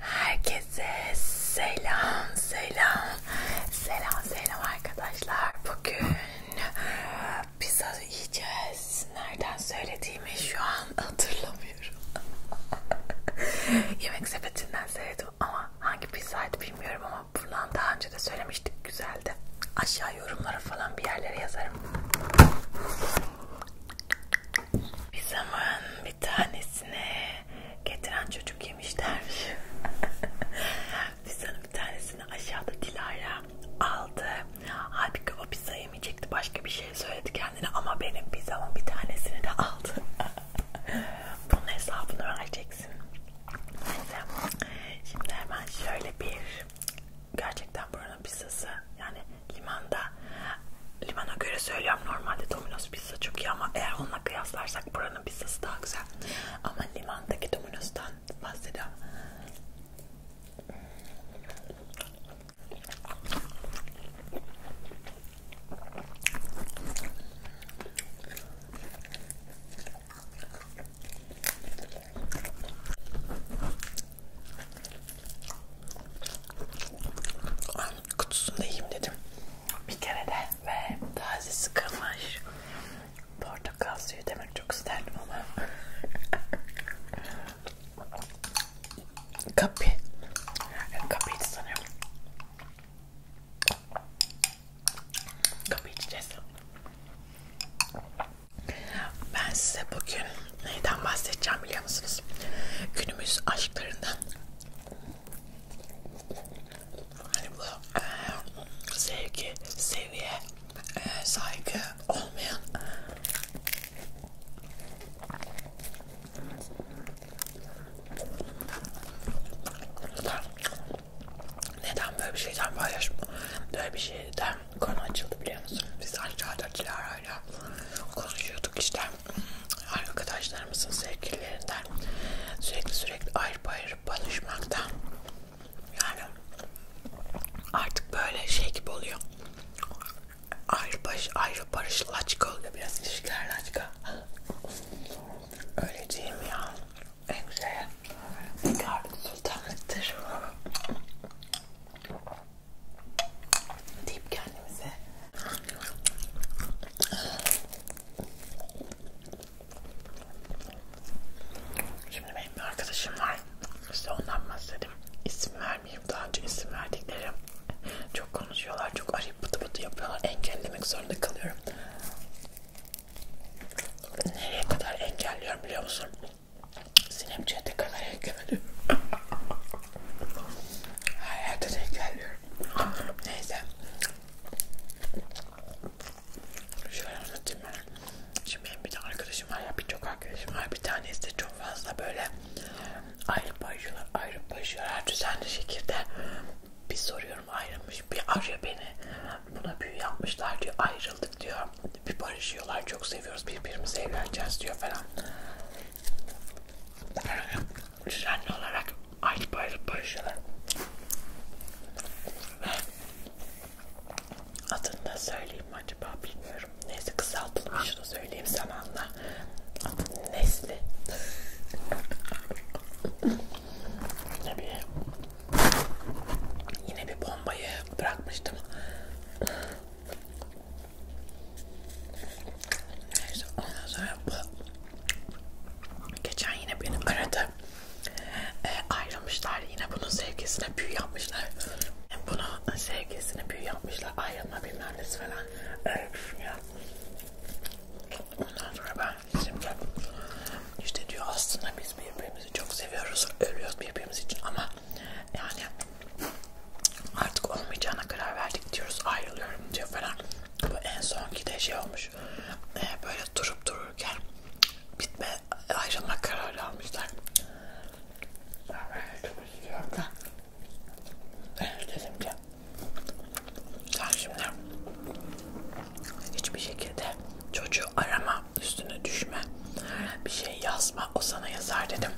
Herkese selam selam selam selam arkadaşlar bugün pizza yiyeceğiz nereden söylediğimi şu an hatırlamıyorum yemek sepetinden söyledim ama hangi pizzaydı bilmiyorum ama bundan daha önce de söylemiştik güzeldi aşağı yorumlara falan bir yerlere yazarım bir zaman bir tanesine getiren çocuk yemişlermiş. bir zaman bir tanesini aşağıda Dilara aldı. Halbuki o pizza yemeyecekti. Başka bir şey söyledi kendine ama benim pizzamın bir tanesini de aldı. Bunun hesabını vereceksin. Neyse. Şimdi hemen şöyle bir gerçekten buranın pizzası yani limanda limana göre söylüyorum normalde Domino's pizza çok iyi ama eğer onunla kıyaslarsak buranın pizzası daha güzel ama limandaki Domino's'tan bahsediyorum kutusunda yiyeyim dedim. Bir kere de ve taze sıkılmış portakal suyu demek çok isterdim ama kapı kapıydı sanıyorum. Kapı içeceğiz. Ben size bugün Neyden bahsedeceğim biliyor musunuz? Günümüz aşklarından. Hani bu e, sevgi, seviye, e, saygı olmayan neden böyle bir şeyden paylaşım? Böyle bir şeyden konu açıldı biliyor musun? Biz aşağıda Dilara'yla konuşuyorduk işte arkadaşlarımızın sevgililerinden sürekli sürekli ayrı ayrı barışmaktan yani artık böyle şey gibi oluyor ayrı barış ayrı barışlı açık oluyor biraz ilişkilerle açık öyle değil mi ya en güzel karlı sultanlıktır deyip kendimize Şimdi benim bir arkadaşım var işte ondan bahsedeyim isim vermeyeyim daha önce isim verdiklerim çok konuşuyorlar çok arayıp bıtı bıtı yapıyorlar engellemek zorunda kalıyorum nereye kadar engelliyorum biliyor musun Sinemciye de kadar eklemedim. Hayata denk geliyorum. Neyse. Şöyle anlatayım ben. Şimdi benim bir tane arkadaşım var ya birçok arkadaşım var. Bir tanesi de çok fazla böyle ayrı paylaşıyorlar, ayrı paylaşıyorlar. Düzenli şekilde bir soruyorum ayrılmış. Bir arıyor beni. Buna büyü yapmışlar diyor. Ayrıldık diyor bir barışıyorlar çok seviyoruz birbirimize evleneceğiz diyor falan. Düzenli olarak ayrı ayrı barışıyorlar. Adını da söyleyeyim acaba bilmiyorum. Neyse kısaltılmış da söyleyeyim zamanla. Adı Nesli. yine bir yine bir bombayı bırakmıştım. Neyse ondan sonra bu geçen yine beni aradı. E, ayrılmışlar yine bunun sevgisine büyü yapmışlar. Yani bunun sevgisine büyü yapmışlar. Ayrılma bilmem nesi falan. Öyle düşünüyor. Ondan sonra ben şimdi işte diyor aslında biz birbirimizi çok seviyoruz. Ölüyoruz birbirimiz için ama yani artık olmayacağına karar verdik diyoruz ayrılıyorum diyor falan. Bu en sonki de şey olmuş e, böyle durup dururken bitme ayrılma kararı almışlar. Ben çok üzülüyorum da. Dedim ki sen şimdi hiçbir şekilde çocuğu arama üstüne düşme bir şey yazma o sana yazar dedim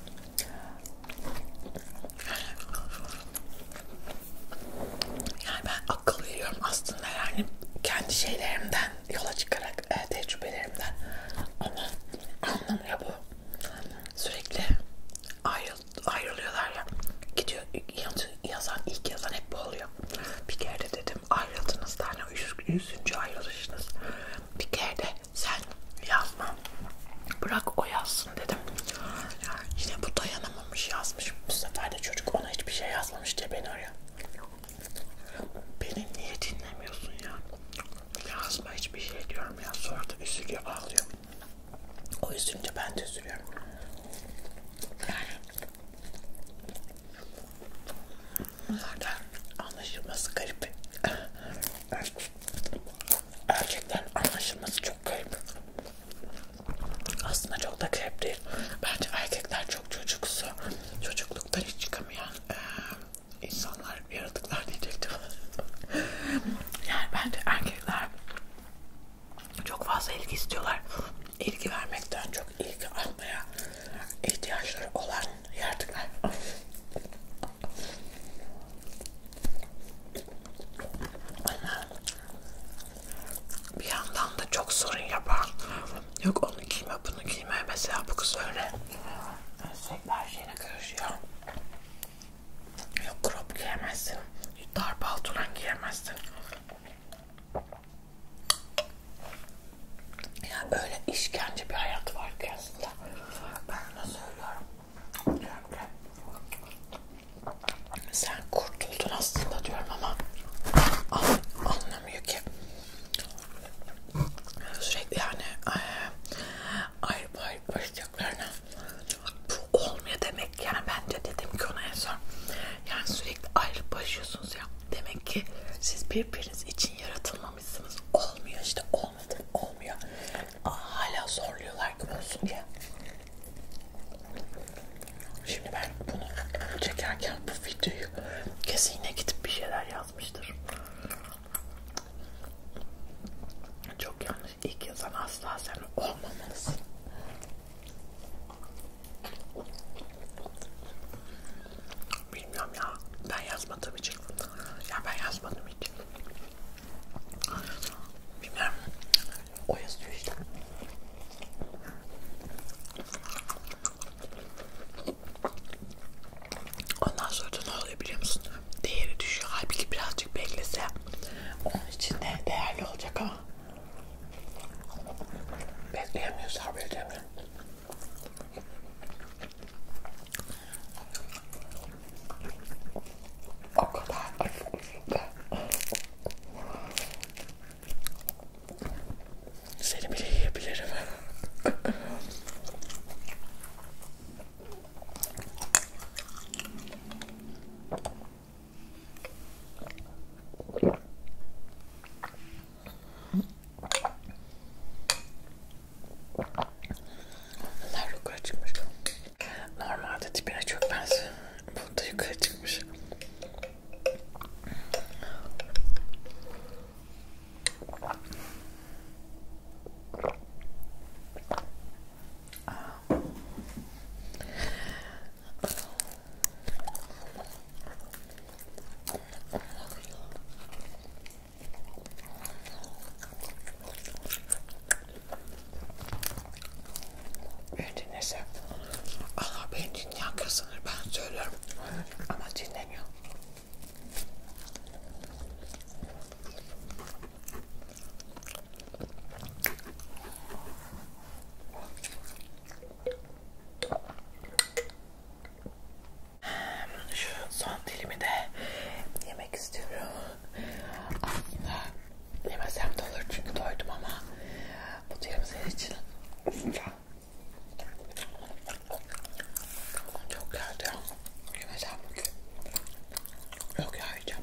yani ben akıl veriyorum aslında yani kendi şeylerimden yola çıkarak e, tecrübelerimden ama anlamıyor bu sürekli ayrıl, ayrılıyorlar ya gidiyor yazan ilk yazan hep bu oluyor bir kere de dedim ayrıldınız tane yüzüncü ayrılışınız bir kere de sen yazma bırak o yazsın dedim. Yani yine bu dayanamamış yazmış. Bu sefer de çocuk ona hiçbir şey yazmamış diye beni arıyor. Beni niye dinlemiyorsun ya? Yazma hiçbir şey diyorum ya. Sonra da üzülüyor ağlıyor. O üzülünce ben de üzülüyorum. Yani Bunlardan anlaşılması garip. Gerçekten anlaşılması çok garip. Aslında çok da garip değil. Bence erkekler çok çocuksu. Çocukluktan hiç çıkamayan e, insanlar, yaratıklar diyecektim. yani bence erkekler çok fazla ilgi istiyorlar. İlgi vermekten çok ilgi almaya ihtiyaçları olan Gerçekten. Bir yandan da çok sorun yapan yok onu giyme bunu giyme mesela bu kız öyle sürekli her şeyine karışıyor. Yok crop giyemezsin, dar paltoran giyemezsin. Ya öyle işkence bir hayat var ki aslında. Ben de söylüyorum. Diyorum ki sen kurtuldun aslında diyorum ama an, anlamıyor ki. Sürekli şey, yani ayrı e, ayrı başlıklarına bu olmuyor demek yani bence dedim ki ona en son yani sürekli ayrı başlıyorsunuz ya demek ki siz birbiriniz için yaratılmamışsınız almışsınız. Olmuyor işte olmadı olmuyor. Aa, hala zorluyorlar ki olsun diye. Şimdi ben bunu çekerken bu videoyu kesin yine gidip bir şeyler yazmıştır. Çok yanlış. İlk yazan asla sen olmamalısın. Bilmiyorum ya. Ben yazmadığım için. Ya ben yazmadım hiç. Bilmiyorum. O yazıyor işte. Ondan sonra da ne oluyor biliyor musun? Değeri düşüyor. Halbuki birazcık beklese onun için de değerli olacak ama bekleyemiyoruz, haber edemiyorum. O kadar acıkmış ki. Seni bile yiyebilirim. Bunlar yukarı çıkmış. Normalde tipine çok benziyor. Bu da yukarı çıkmış. Beni dinlese Allah beni dinleyen kazanır ben söylüyorum ama dinlemiyor. Şu son dilimi de yemek istiyorum. Aslında yemesem de olur çünkü doydum ama bu dilim senin için çok geldi ya. Yemesem bugün. Yok ya yiyeceğim.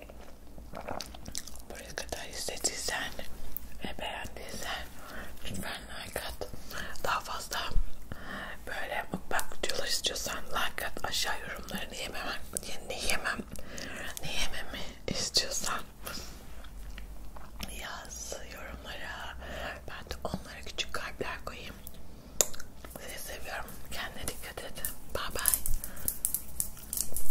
Buraya kadar izlediysen ve beğendiysen lütfen like at. Daha fazla böyle mukbang videolar istiyorsan like at. Aşağı yorumlarını yemem, ne yemem, ne yememi istiyorsan yaz yorumlara. Ben de onlara küçük kalpler koyayım. Sizi seviyorum. Kendine dikkat et. Bye bye.